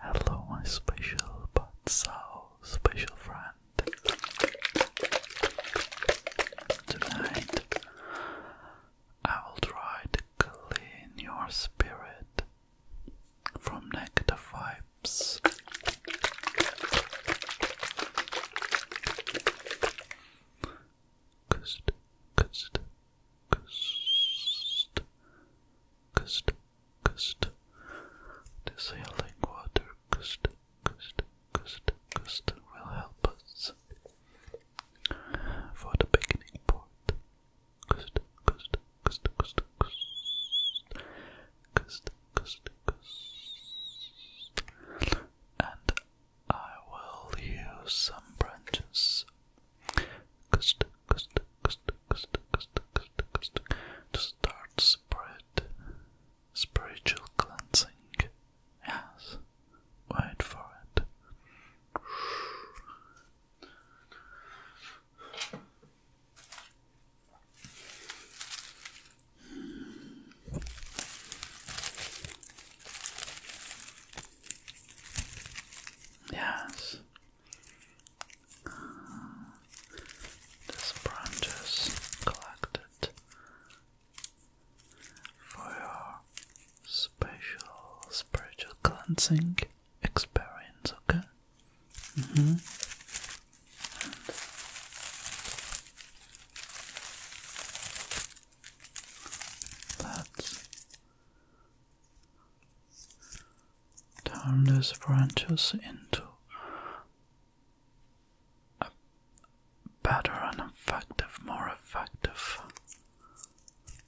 Hello, my special but so special friend. Tonight I will try to clean your spirit from negative vibes. Kust, kust, kust, kust, kust. This healing water, kust, kust, kust, kust, will help us for the beginning part and I will use some branches. to start spread spiritual cleansing. Yes, wait for it. Yes. Uh, branches collected for your special spiritual cleansing experience, okay? Mm -hmm. Let's turn these branches into a better and effective, more effective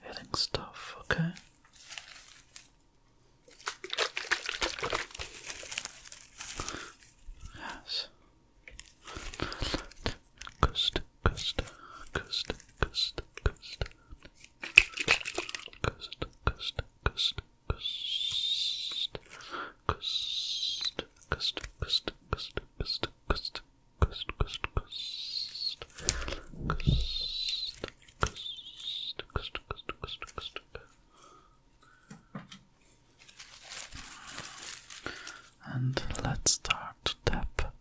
healing stuff, okay? Yes. Cust, cust, cust, cust, cust. Cust, cust, cust, cust. Cust, cust, cust, cust, cust, cust. Cust, cust, cust. Cust, and let's start to tap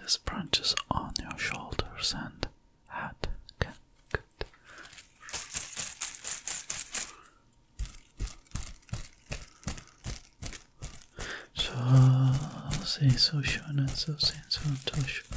these branches on your shoulders and head. So, see, so, so, so, so, so, so, so,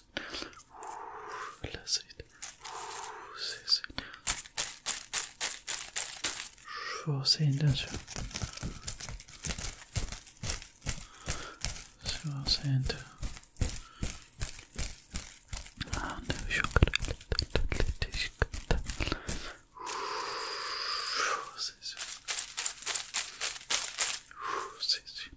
Release it. Release it. Release it. Force it down. Force it down. And shock Force it. Force it.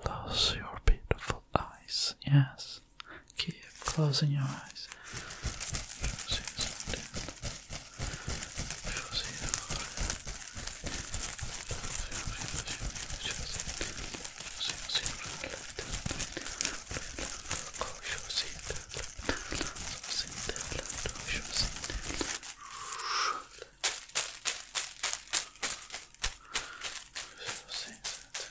Close your beautiful eyes. Yes. Keep closing your eyes.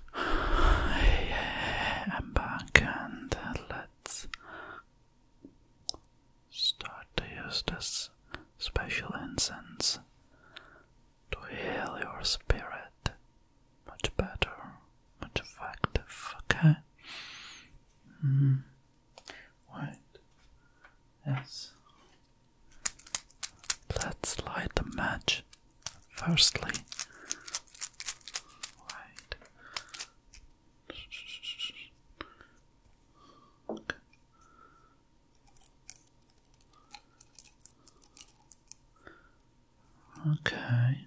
I'm back and uh, let's start to use this special incense to heal your spirit much better, much effective, okay? Mm. yes. Let's light the match firstly. Right. Okay.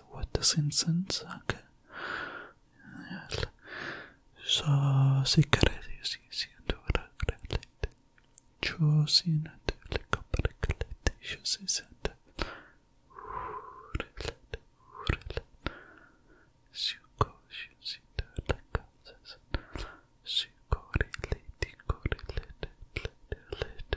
what the Simpsons. Okay. So, sicaretti si sientura grelete. Choosing a telecomplicate. Choose is it. Relate, relate. Suco, choose it. Like, suco, relate, correlate, relate,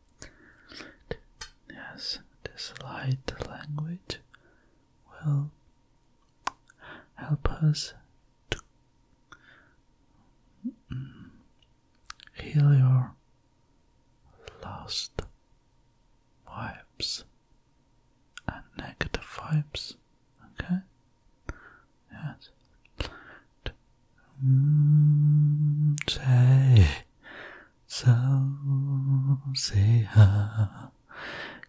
Yes, this light language will help us to mm, heal your lost vibes and negative vibes. Okay? Yes. Mm, say. So say ha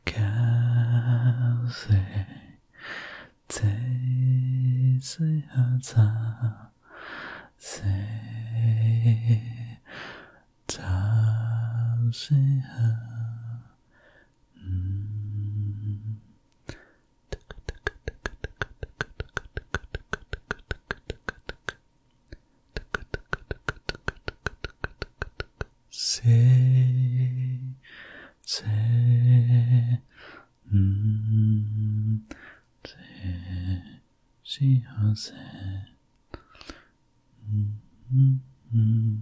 can say Say say ha ta say ta say ha mm. Say, say, mm, say, she has said, mm, mm, mm.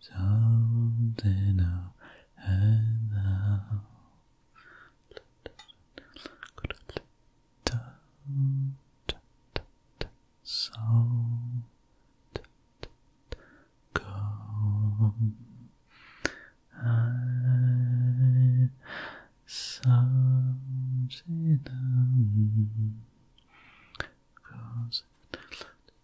something I had now. So go I something cause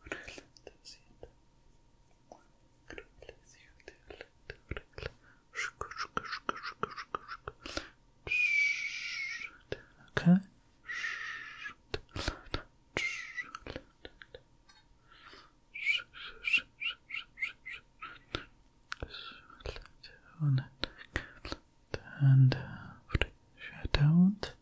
relaxación. Okay. And uh, I don't.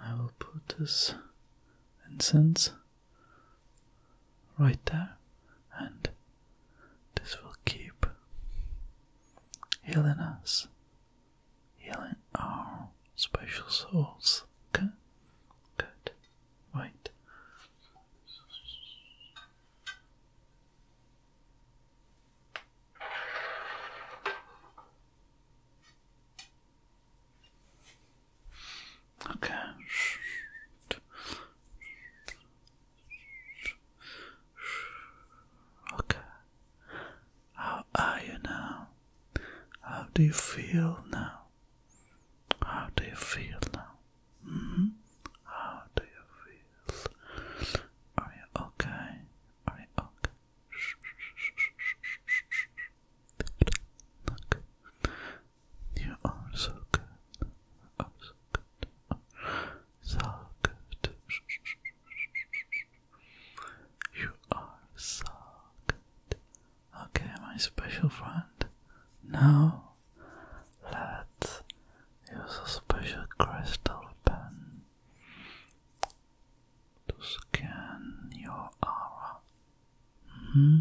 I will put this incense right there, and this will keep healing us, healing our special souls. Okay? Good. Right. Okay. Okay. How are you now? How do you feel now? How do you feel now? How do you feel? Are you okay? Are you okay? You are so good. so good. so good. You are so good. Okay, my special friend. Now Let's use a special crystal pen to scan your aura. -hmm.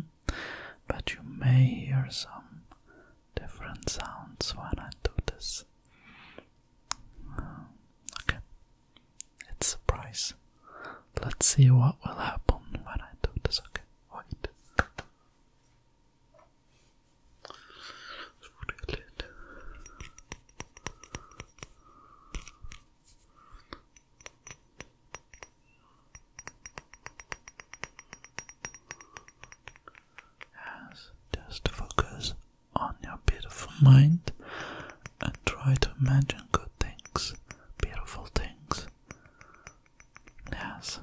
But you may hear some different sounds when I do this. Hmm, okay, it's a surprise. Let's see what will happen when I do this. Okay, wait just focus on your beautiful mind and try to imagine good things, beautiful things. Yes.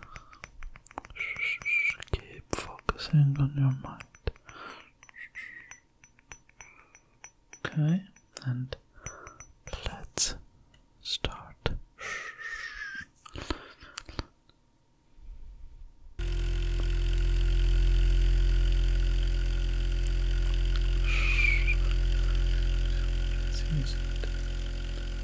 Keep focusing on your mind. Okay, and let's start.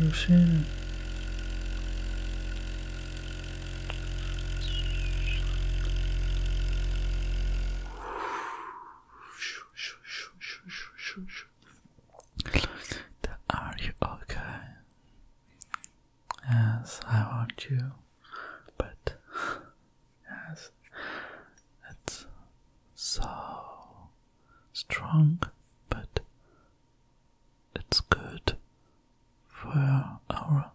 Machine. Are you okay? as I want you, but yes, it's so strong, but it's good for our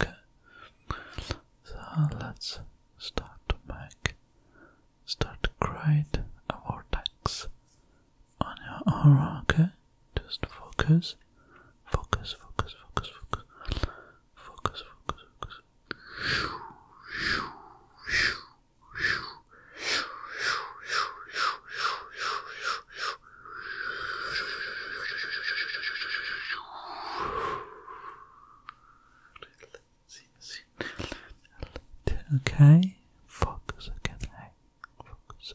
okay. So let's start to make start to create a vortex on your aura, okay? Just focus. Focus, focus, focus, focus. Focus, focus, focus. Okay, focus again. Hey, focus.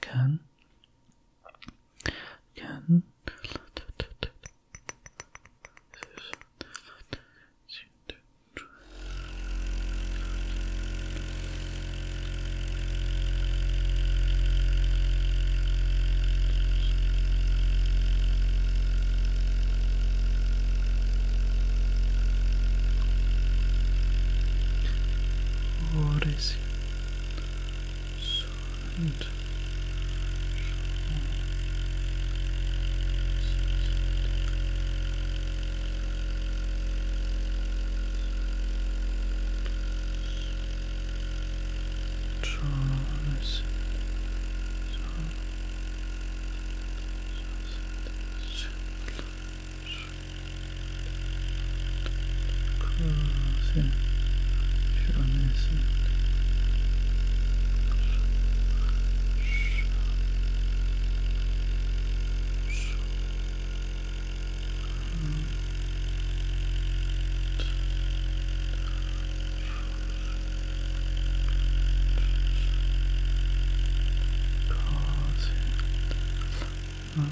Can can what is Sand. Trolls. Trolls. Cross it. Show this. Cross it.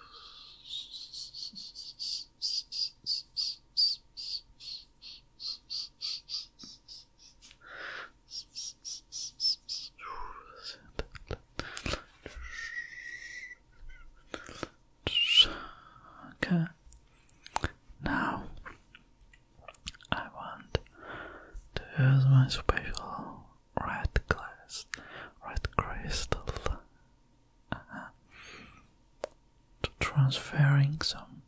Okay. Now I want to use my special red glass, red crystal, uh-huh. to transferring some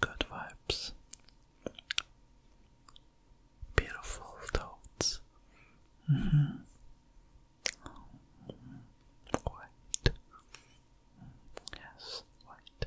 good vibes, beautiful thoughts. White, mm-hmm. yes, white.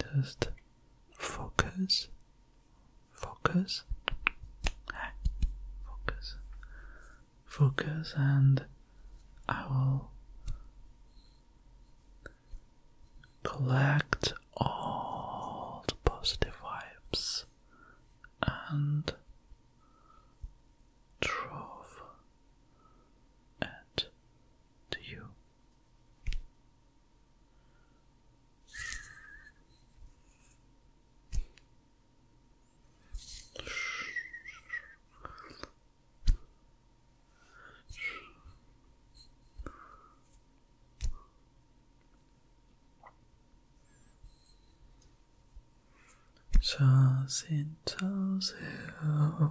just focus, focus, focus, focus, and I will collect all the positive vibes and drove it to you. in those hills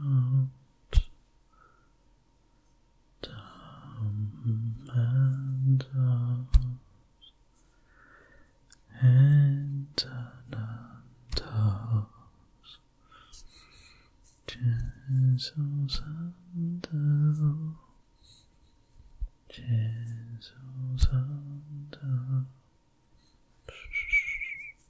out, down and out, and down and out. and out, chisels and out.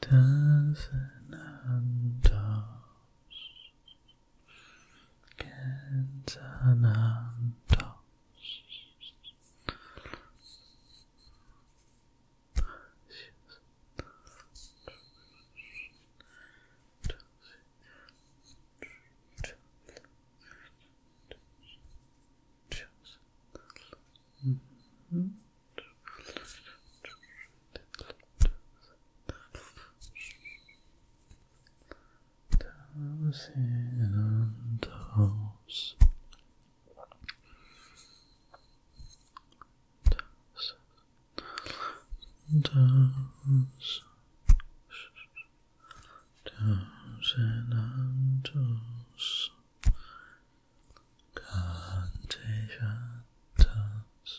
dozen and toss, gets an and toss. Toss, Mm -hmm. Thousand toes. Toes. Toes and toes. Kantejatas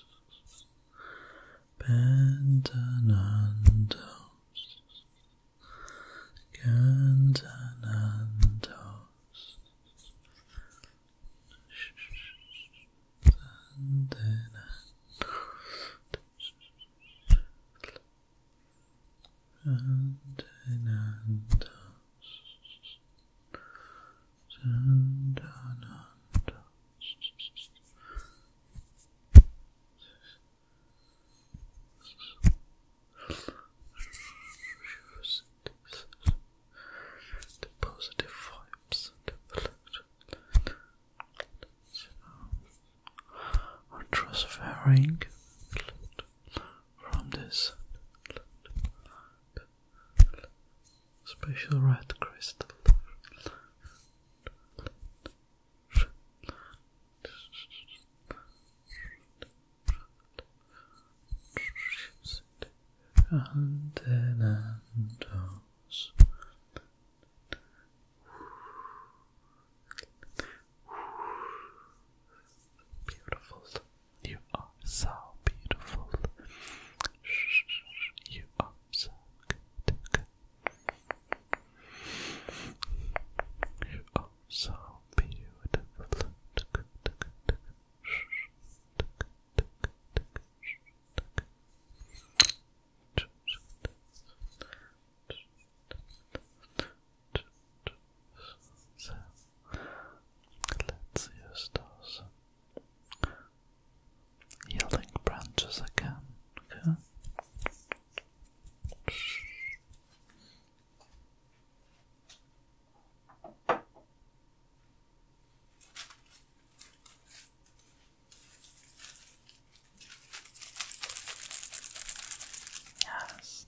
Bendanandos Gandanandos Sandanandos Antinanda Sandananda the positive vibes are transferring from this special red crystal. And then and those. Beautiful. You are so beautiful. You are so beautiful let's use those yielding branches again. Yes,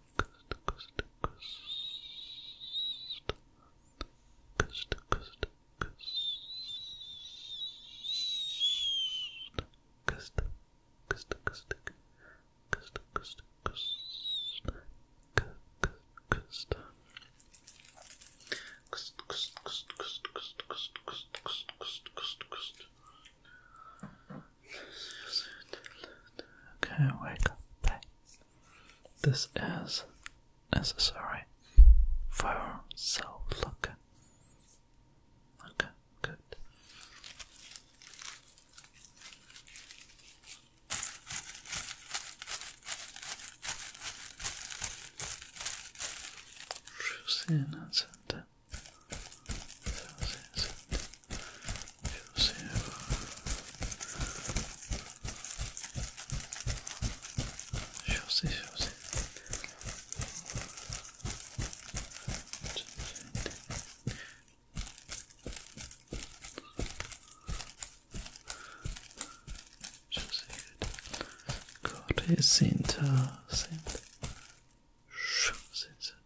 coast, coast, coast, coast, coast, coast, coast, coast, coast, coast, coast, Okay, wake up, please. This is necessary for self-look. Okay, good. Choosing and José, José. Gott ist hinter sind sind sind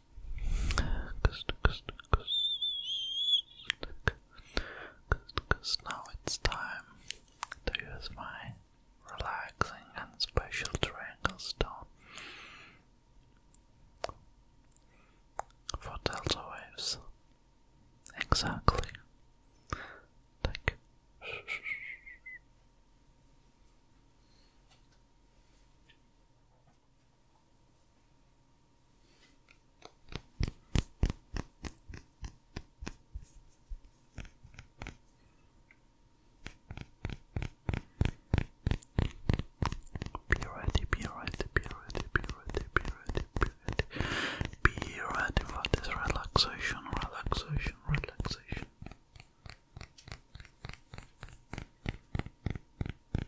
Because now it's time to use my relaxing and special triangle stone for delta waves. Exactly. Like. Purity, purity, purity, purity, purity, purity, purity for this relaxation, relaxation, relaxation.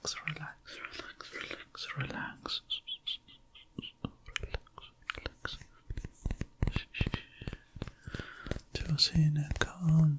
Relax, relax, relax, relax, relax. Just in a calm.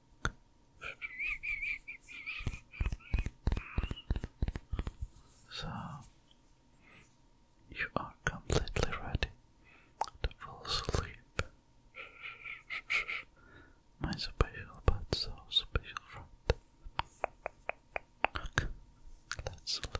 So you are completely ready to fall asleep. My special but so special friend. let's sleep.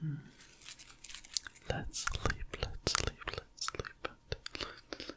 Hmm. Let's sleep, let's sleep, let's sleep, let's sleep.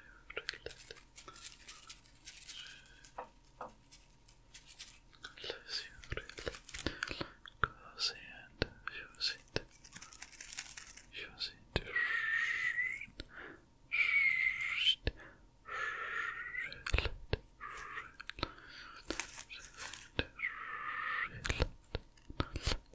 Unless you really cozy and use it. Use it. Relax, relax, relax,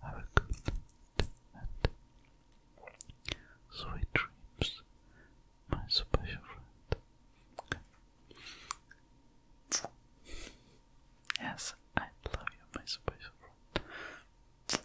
Have a good night sweet dreams, my special friend. Yes, I love you, my special friend.